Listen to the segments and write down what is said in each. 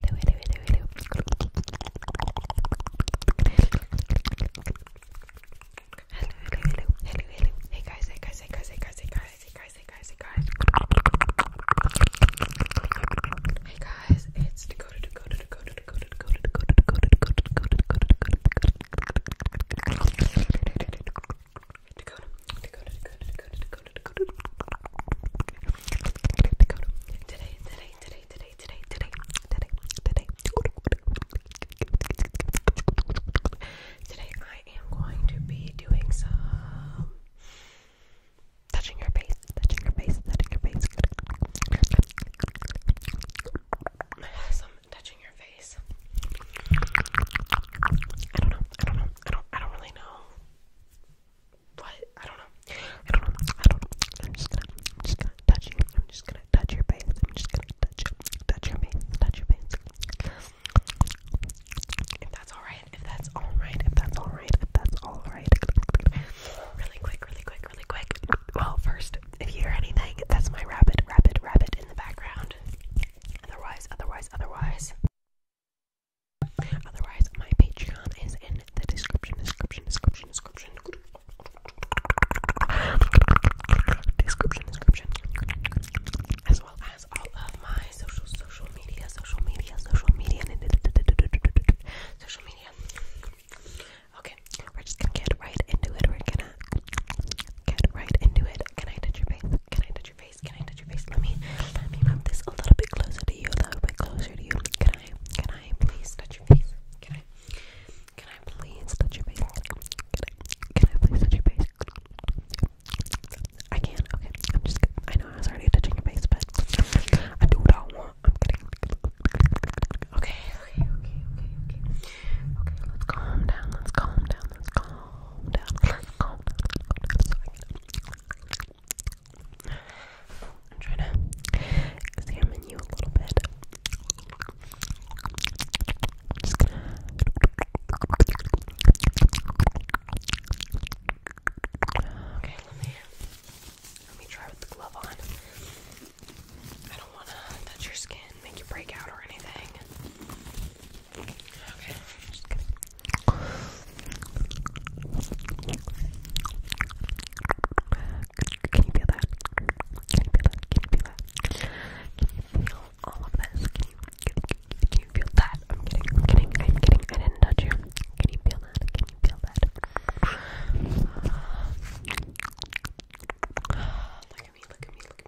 Hey guys, hey guys, hey guys, hey guys, hey guys, hey guys, hey guys, hey guys. Hey guys, it's Dakota, Dakota, Dakota, Dakota, Dakota, Dakota, Dakota, Dakota, Dakota, Dakota, Dakota, Dakota, Dakota, Dakota, Dakota, Dakota, Dakota, Dakota, Today, today, today, today, today, today, today, today. Today I am going to be doing some touching your face, touching your face, touching your face. Some touching your face. I don't know. I don't know. I don't. I don't really know what? I don't know. I don't know. I don't know. I'm just gonna, I'm just gonna touch you. I'm just gonna touch your face. I'm just gonna touch, touch your face. Touch your face. If that's alright. If that's alright. If that's alright. If that's alright. Really quick. Really quick. Really quick. Well, first, if you hear anything, that's my rabbit, rabbit, rabbit in the background. Otherwise, otherwise, otherwise. Otherwise, my Patreon is in the description, description, description, description, description, description, as well as all of my social, social media, social media, social media, social media. Okay, we're just gonna get right into it. We're gonna get right into it. Can I touch your face? Can I touch your can I touch your face? Let me let me move this a little bit closer to you, a little bit closer to you. Can I can I please touch your face? Can I can I please touch your face? Can I can I please touch your face? I can, okay. I'm just I know I was already touching your face, but I do what I want. I'm kidding. Okay, okay, okay, okay, okay. let's calm down, let's calm down, let's calm down, let's calm down, I'm trying to examine you a little bit. Okay, let me let me try with the glove on. I don't wanna touch your skin, make you break out or anything. Okay. Can you feel that? Can you feel that? Can you feel that? Can you feel all of this? Can you, can, can you feel that? I'm kidding, I'm kidding, I'm kidding. I didn't touch you. Can you feel that? Can you feel that? Uh, look at me, look at me, look at me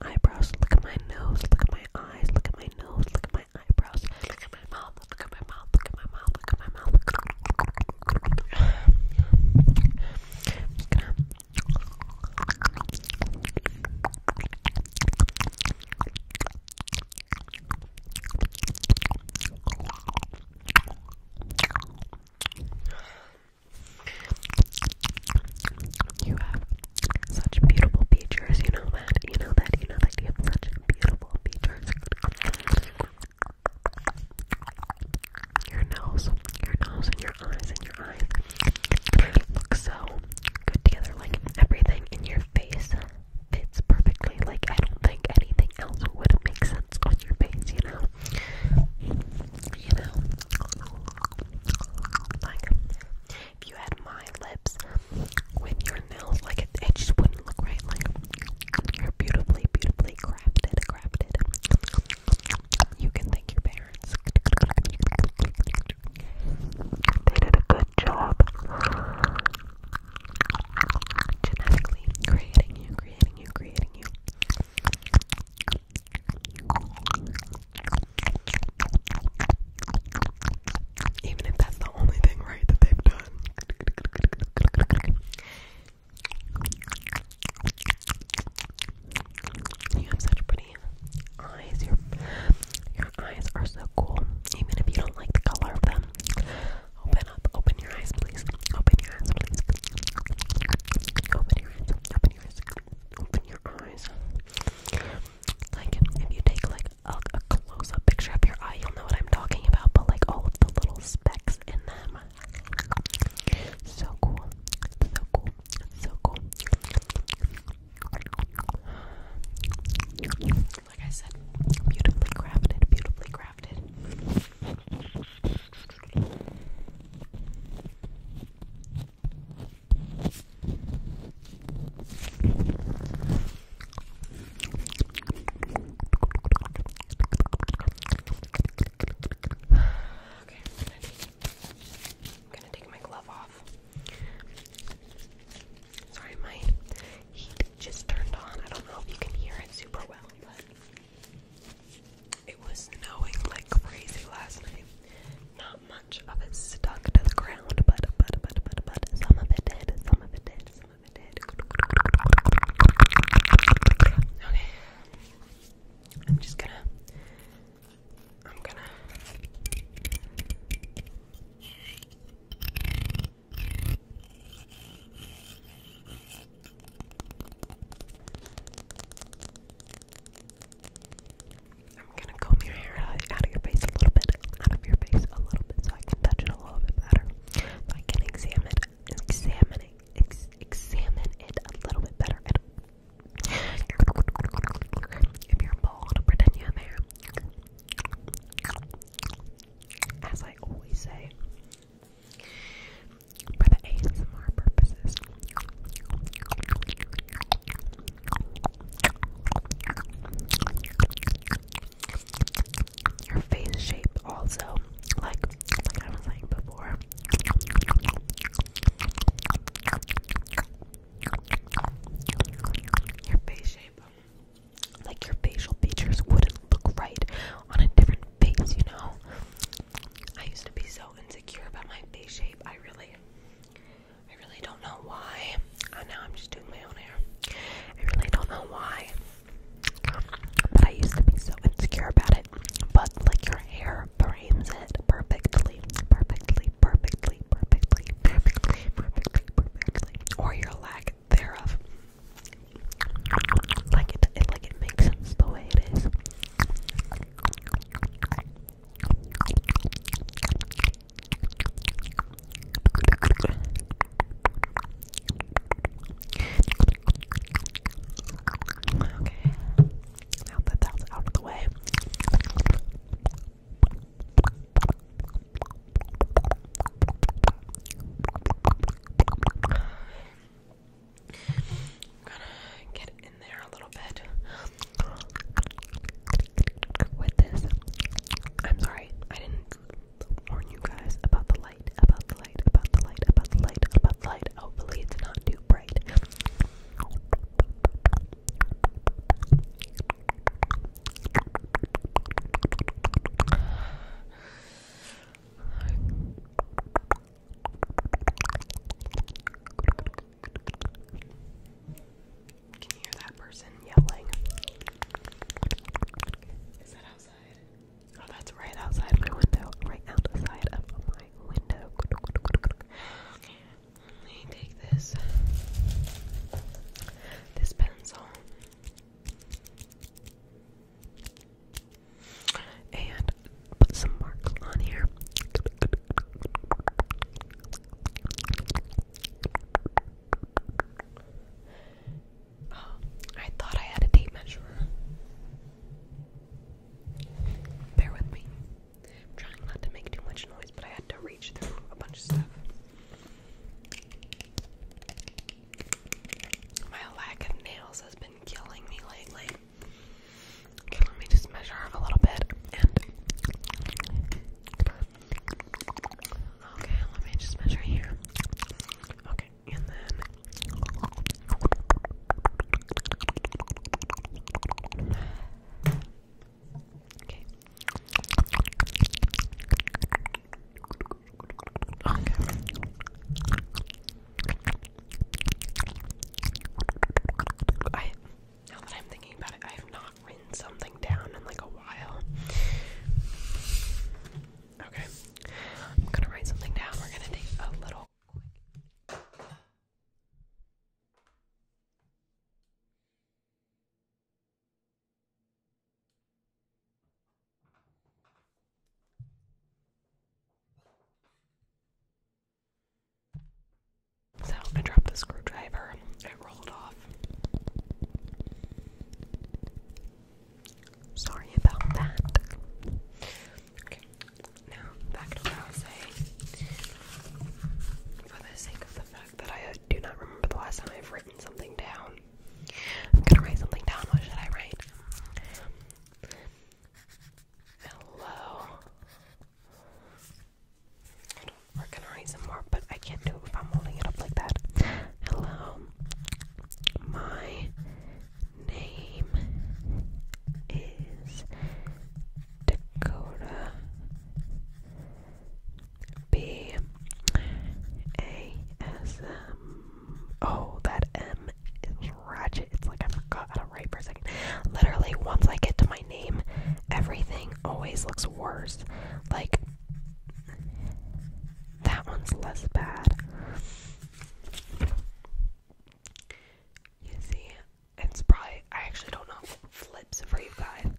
my eyebrows, look at my nose, look at my eyes, look at my nose, look at my eyebrows, look at my mouth, look at my mouth, look at my mouth, look at my mouth. Look at my mouth. I'm just gonna you have such beautiful features, you know that, you know that, you know that you have such beautiful features. Your nose, your nose, and your eyes, and your eyes look so good together. Like everything in your face fits perfectly. Like I don't think anything else would make sense on your face, you know? You know? Like, if you had my lips with your nails, like it, just wouldn't look right. Like, you're beautifully, beautifully crafted, crafted. You can thank your parents. They did a good job genetically creating you, creating you, creating you. Even if that's the only thing right that they've done. You have such pretty eyes. Your eyes are so cool. Even if you don't like the color of them. Open up. Open your eyes, please. Open your eyes, please open your eyes, Like, if you take like a close-up picture of your eye, you'll know what I'm talking about. But like all of the little specks in them, so cool, so cool, so cool. Like I said, beautifully crafted, beautifully crafted. Okay, I'm gonna, I'm gonna take my glove off. Sorry, my heat just turned on. I don't know if you can hear it super well, but it was snowing like crazy last night. Not much of it stuck to the ground, but but but but but some of it did. Some of it did. Some of it did. Okay. I'm just gonna. I'm gonna. I'm gonna comb your hair out of your face a little bit, out of your face a little bit, so I can touch it a little bit better. So I can examine, examine, it, ex examine it a little bit better. If you're bald, pretend you have hair. As I always say, for the ASMR purposes. Your face shape also, like like I was saying before. Your face shape like your facial features wouldn't look right on a different face, you know? I used to be so insecure about my face shape. I really I really don't know why. I know I'm just doing my own hair. I really don't know why. But I used to be so insecure about it. But like your hair frames it perfectly, perfectly, perfectly, perfectly, perfectly, perfectly, perfectly, perfectly. Or your lack thereof. Like it, like it makes sense the way it is. Okay, now that that's out of the way. I'm gonna get in there a little bit with this. I'm sorry, I didn't warn you guys about the light, about the light, about the light, about the light, about the light. Hopefully, it's not too bright. Can you hear that person yelling? Is that outside? Oh, that's right outside my window. Right outside of my window. Let me take this. This pencil. And put some marks on here. Oh, I thought I had a tape measure. Bear with me. trying not to make too much noise, but I had to reach through a bunch of stuff. My lack of nails has been killing me lately. Okay, let me just measure off a little bit Okay, let me just measure here. Okay, and then. Okay. Okay. I now that I'm thinking about it, I have not written something down in like a while. Okay. I'm gonna write something down. We're gonna take a little so I dropped the screwdriver. It rolled off. Sorry about that. Okay, now back to what I was saying. For the sake of the photo, that I uh, do not remember the last time I've written something down. I'm gonna write something down. What should I write? Hello. We're gonna write some more, but I can't do it if I'm holding it up like that. Hello. My name is Dakota. B A S M. Oh, that M is ratchet. It's like I forgot how to write for a second. Literally, once I get to my name, everything always looks worse. Like, that one's less bad. You see, it's probably, I actually don't know flips for you guys.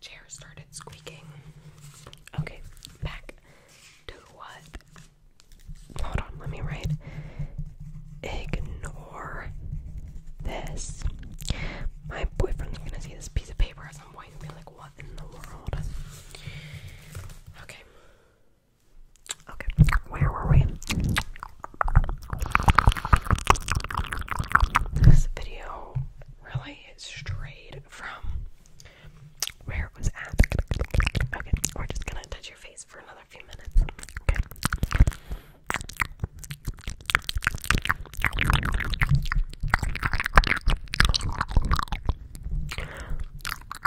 Chair started squeaking. Okay, back to what? Hold on, let me write. Ignore this. My boyfriend's gonna see this piece of paper at some point and be like, what in the world? Okay. Okay, where were we? This video really strayed from where it was at. Okay, we're just gonna touch your face for another few minutes. Okay. Do you guys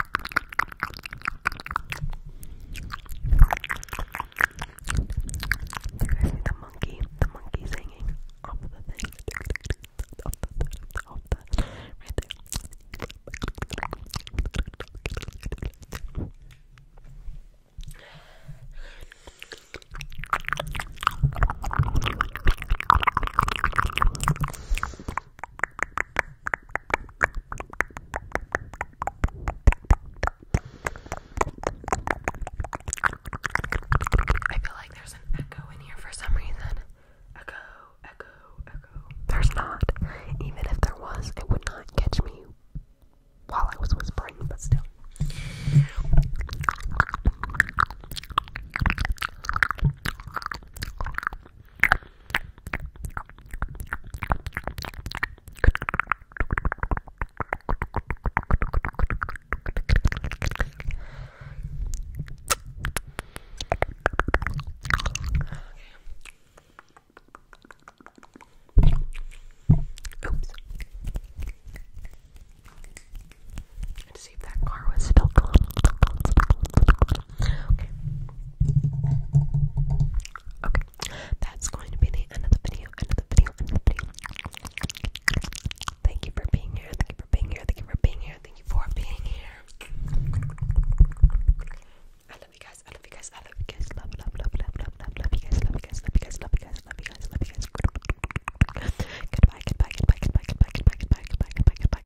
see the monkey? The monkey singing off of the thing. Off the, off the, right there. I feel like there's an echo in here for some reason. Echo, echo, echo. There's not. Even if there was, it would not catch me while I was whispering, but still. Oops. And to see if that car was still closed. Okay. Okay, that's going to be the end of the video, end of the video, end of the video. Thank you for being here, thank you for being here, thank you for being here, thank you for being here. I love you guys, I love you guys, I love you guys, love, love, love, love, love, love, you guys, love you guys, love you guys, love you guys, love you guys, love you guys. Goodbye, goodbye, goodbye, goodbye, goodbye, goodbye, goodbye, goodbye, goodbye, goodbye.